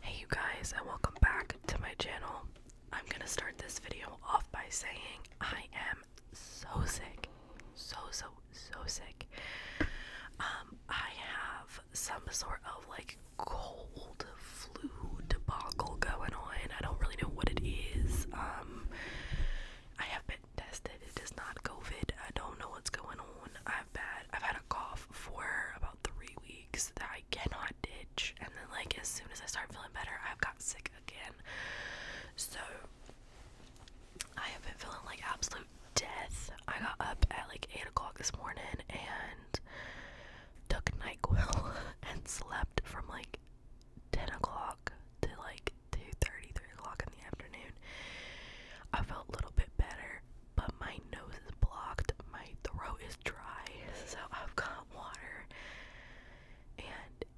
Hey you guys and welcome back to my channel. I'm gonna start this video off by saying I am so sick. So so so sick. Um, I have some sort of like cold flu debacle going on. I don't really know what it is. Um, I have been tested. It is not COVID. I don't know what's going on. I've bad I've had a cough for about three weeks that I cannot ditch. And then, like, as soon as I start feeling better, I've got sick again. So, I have been feeling like absolute death. I got up at like 8 o'clock this morning and took NyQuil and slept from like 10 o'clock to like two thirty, three o'clock in the afternoon. I felt a little bit better, but my nose is blocked, my throat is dry, so I've got water. And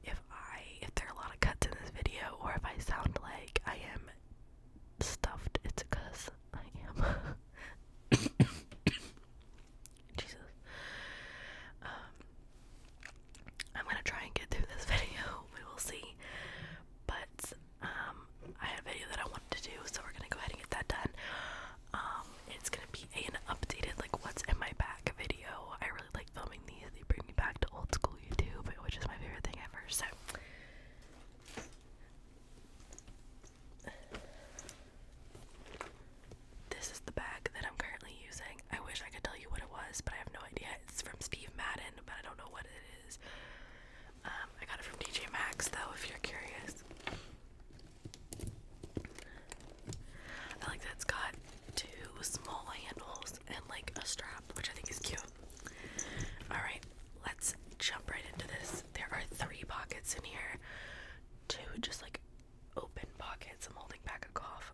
if I if there are a lot of cuts in this video or if I sound like I am stuffed, it's because I am Jesus. Um I'm gonna try and get through this video. We will see. But um I have a video that I wanted to do, so we're gonna go ahead and get that done. Um, it's gonna be an updated like what's in my back video. I really like filming these. They bring me back to old school YouTube, which is my favorite thing ever. So. This is the bag that I'm currently using. I wish I could tell you what it was, but I have no idea. It's from Steve Madden, but I don't know what it is. Um, I got it from DJ Maxx, though, if you're curious. I like that it's got two small handles and like a strap, which I think is cute. Alright, let's jump right into this. There are three pockets in here. Two just like open pockets. I'm holding back a cough.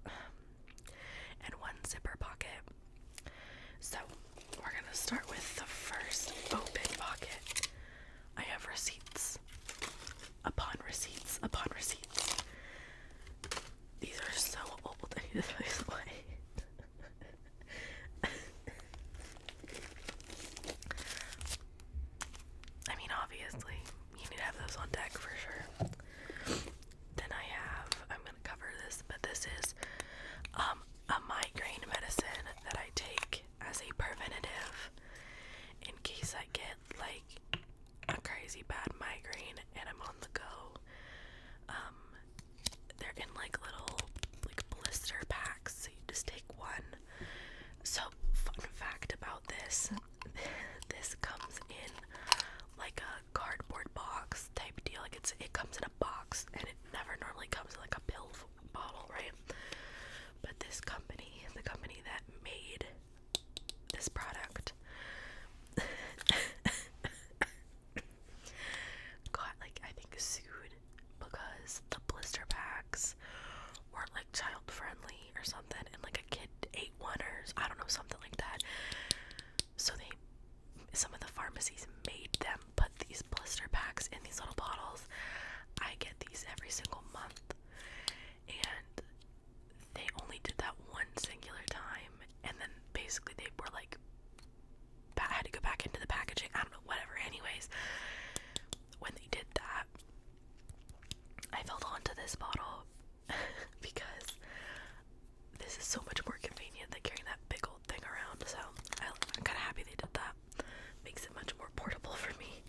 and one zipper pocket. So we're gonna start with the first open pocket. I have receipts upon receipts upon receipts. These are so old. I need to throw these away. I mean, obviously, you need to have those on deck for sure. Then I have, I'm gonna cover this, but this is um, a migraine medicine that I take as a preventative in case I get like a crazy bad migraine and I'm on the go. Um, they're in like little like blister packs, so you just take one. So fun fact about this, this comes in like a cardboard box type deal. Like it's it comes in a box and it never normally comes like a pill form bottle, right? But this company, the company that made this product, got like I think sued because the blister packs weren't like child friendly or something, and like a kid ate one or I don't know something like that. So they, some of the pharmacies made them them, these blister packs in these little bottles, I get these every single month. And they only did that one singular time, and then basically they were like, I had to go back into the packaging. I don't know, whatever. Anyways, when they did that, I held onto this bottle because this is so much more convenient than carrying that big old thing around. So I'm kind of happy they did that makes it much more portable for me.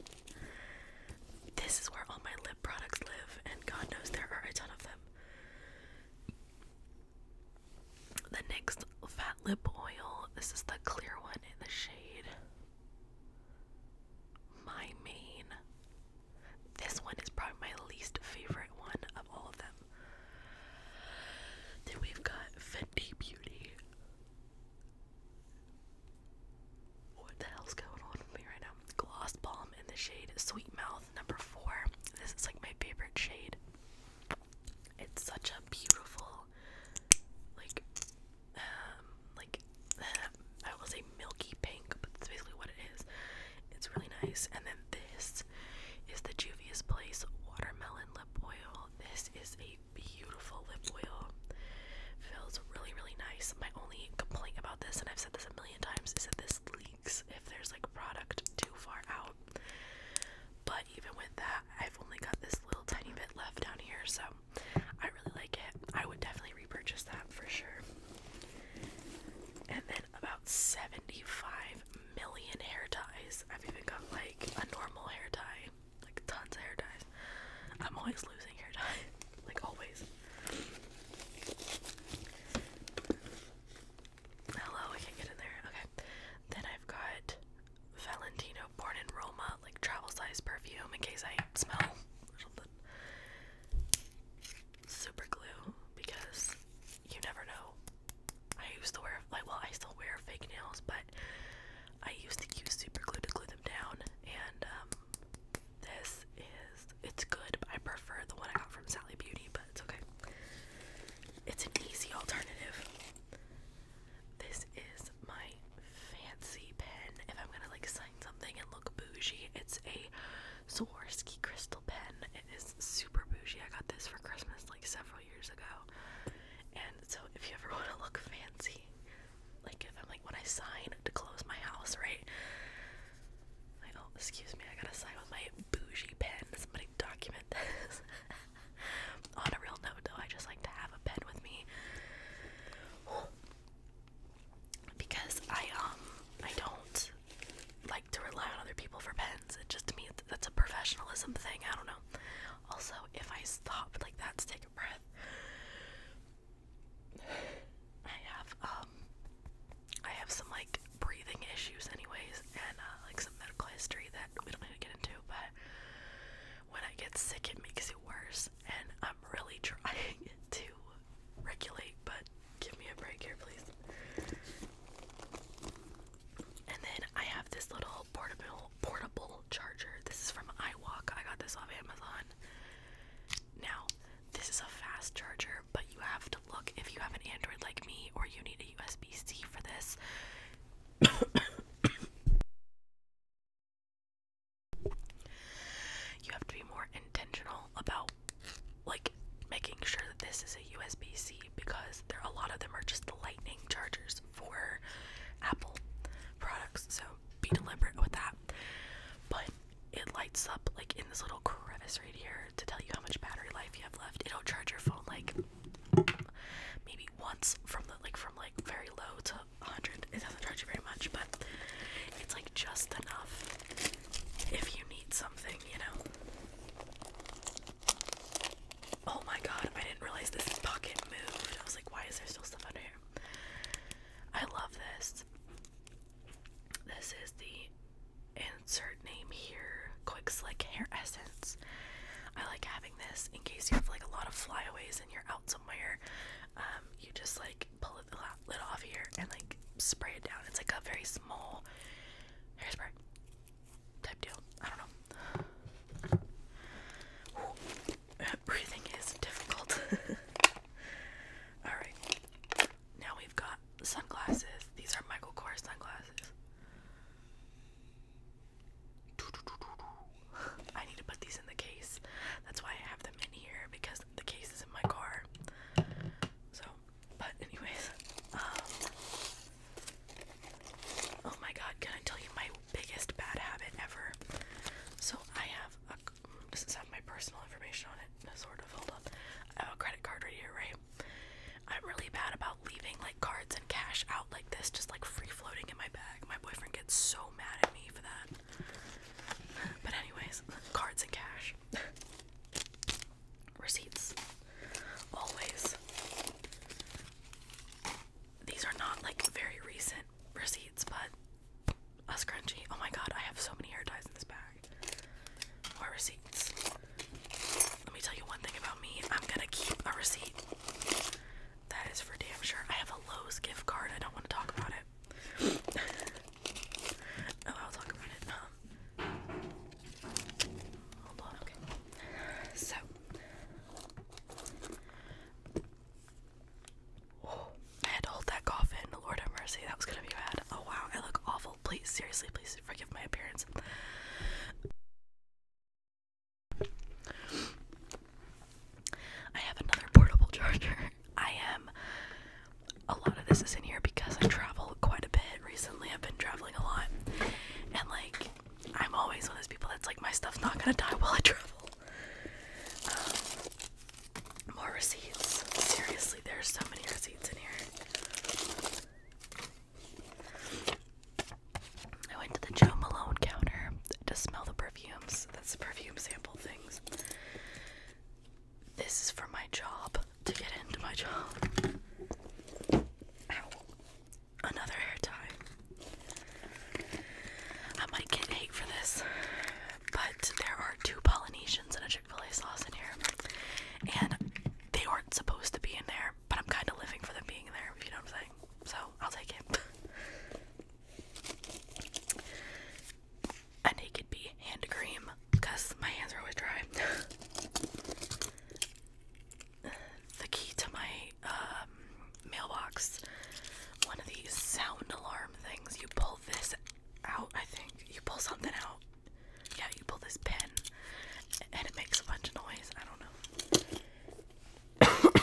This is where all my lip products live, and God knows there are a ton of them. The next fat lip oil, this is the clear one in the shade My Main. This one is probably my least favorite one of all of them. Then we've got Fendi Beauty. What the hell's going on with me right now? Gloss Balm in the shade Sweet Mouth number four. This is like my favorite shade. It's such a beautiful, like, um, like I will say milky pink, but that's basically what it is. It's really nice. And then this is the Juvia's Place Watermelon Lip Oil. This is a beautiful lip oil. Feels really, really nice. My only complaint about this, and I've said this a million times, is that this leaks if there's like product too far out. But even with that, I've only got this little tiny bit left down here, so I really like it. I would definitely repurchase that for sure. And then about 75 million hair ties. I've even got like a normal hair tie like tons of hair dyes. I'm always losing hair dye, like always. Hello, I can't get in there. Okay. Then I've got Valentino Born in Roma, like travel size perfume in case I smell something. Super glue because you never know. I used to wear like well I still wear fake nails, but I used to use super glue to glue them down, and um, this is it's good. I prefer the one I got from Sally Beauty, but it's okay. It's an easy alternative. This is my fancy pen. If I'm gonna like sign something and look bougie, it's a Swarovski crystal pen. It is super bougie. I got this for Christmas like several years ago. And so if you ever want to look fancy like if I'm like when I sign to close my house, right? Like, oh, excuse me, I gotta sign with my bougie pen. Somebody document this. On a real note, though, I just like to have a pen with me because I um I don't like to rely on other people for pens. It just me that's a professionalism thing. I don't know. Also, if I stop like that, to take a breath, I have um I have some like breathing issues anyways and uh, like some medical history that we don't need to get into but when I get sick it makes it worse and I'm really trying to regulate but give me a break here please. And then I have this little portable portable charger. This is from iWalk. I got this off Amazon. Now, this is a fast charger, but you have to look if you have an Android like me or you need a USB-C for this. you have to be more intentional about like making sure that this is a USB-C because there a lot of them are just lightning chargers for Apple products, so be deliberate with that. But it lights up like in this little crevice right here to tell you how much battery life you have left. It'll charge your phone like maybe once from the like from like very low to 100. It doesn't charge you very much, but it's like just enough if you need something, you know. Oh my god, I didn't realize this pocket moved. I was like, why is there still stuff under here? I love this. This is the insert name here Quick Slick Hair Essence. I like having this in case you have like a lot of flyaways and you're out somewhere. Um, you just like pull it lid off here and like spray it down. It's like a very small hairspray type deal. I don't know. breathing is difficult. Alright. Now we've got sunglasses. These are Michael Kors sunglasses. I need to put these in the case. That's why I have them in here because the case is in my car. So, but anyways, um, oh my god, can I tell you my biggest bad habit ever. So I have this is have my personal information on it, sort of. Hold up, I have a credit card right here, right? I'm really bad about leaving like cards and cash out like this, just like free floating in my bag. My boyfriend gets so mad at me for that. But anyways, cards and cash, receipts, always. These are not like very recent receipts, but a scrunchie. Oh my god, I have so many hair ties in this bag. More receipts. Let me tell you one thing about me. I'm gonna keep a receipt. That is for damn sure. I have a Lowe's gift card. I don't want to talk about it. oh, I'll talk about it. Um, hold on. Okay. So, I had to hold that coffin. Lord have mercy, that was gonna be bad. Oh wow, I look awful. Please, seriously, please forgive my appearance. I have another portable charger. I am. A lot of this is in here because I travel quite a bit recently. I've been traveling a lot. And like, I'm always one of those people that's like, my stuff's not gonna die while I travel. Um, more receipts. Seriously, there's so many receipts in here. I went to the Joe Malone counter to smell the perfumes. That's the perfume sample things. This is for my job, to get into my job. Ow. Another hair tie. I might get hate for this, but there are two Polynesians and a Chick fil A sauce in here, and they aren't supposed to be in there, but I'm kind of living for them being there, if you know what I'm saying. So I'll take it. A naked bee hand cream because my hands are always dry. the key to my um, mailbox one of these sound alarm things. You pull this out, I think. You pull something out. Yeah, you pull this pin and it makes a bunch of noise. I don't know.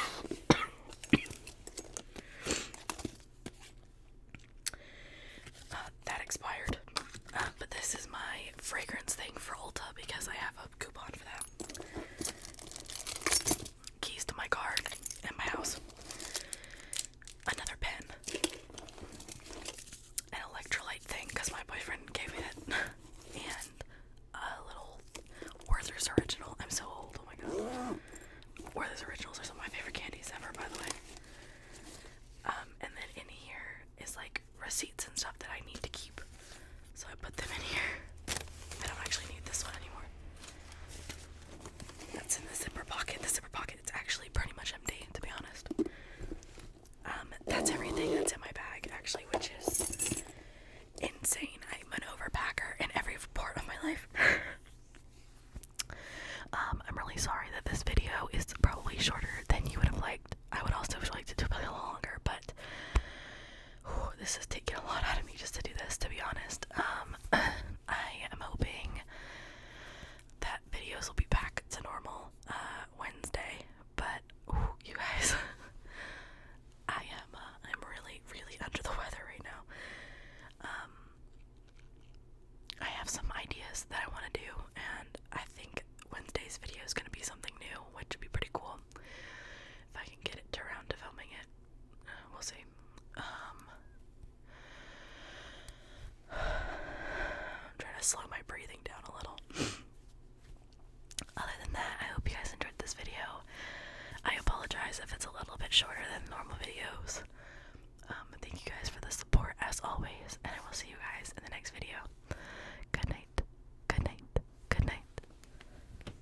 Uh, that expired. Uh, but this is my fragrance thing for Ulta because I have a coupon for that keys to my car and my house, another pen, an electrolyte thing because my boyfriend gave me it, and a little Werther's Original. I'm so old, oh my god. Werther's Originals are some of my favorite candies ever, by the way. Um, and then in here is like receipts and stuff that I need to keep. So I put them in here. I don't actually need this one anymore. That's in the zipper pocket. The zipper pocket it's actually pretty much empty, to be honest. Um, that's everything that's in my bag actually, which is insane. I'm an overpacker in every part of my life. um, I'm really sorry that this video is probably shorter than you would have liked. I would also have liked to do a little longer, but this is taking a lot out of me just to do this, to be honest. Um, I am hoping that videos will be back to normal uh, Wednesday, but you guys, I am uh, I'm really really under the weather right now. Um, I have some ideas that I want to do, and I think Wednesday's video is gonna be something new, which would be pretty cool if I can get it around to filming it. Uh, we'll see. I'm trying to slow my breathing down a little. Other than that, I hope you guys enjoyed this video. I apologize if it's a little bit shorter than normal videos. Um, thank you guys for the support as always, and I will see you guys in the next video. Good night. Good night. Good night.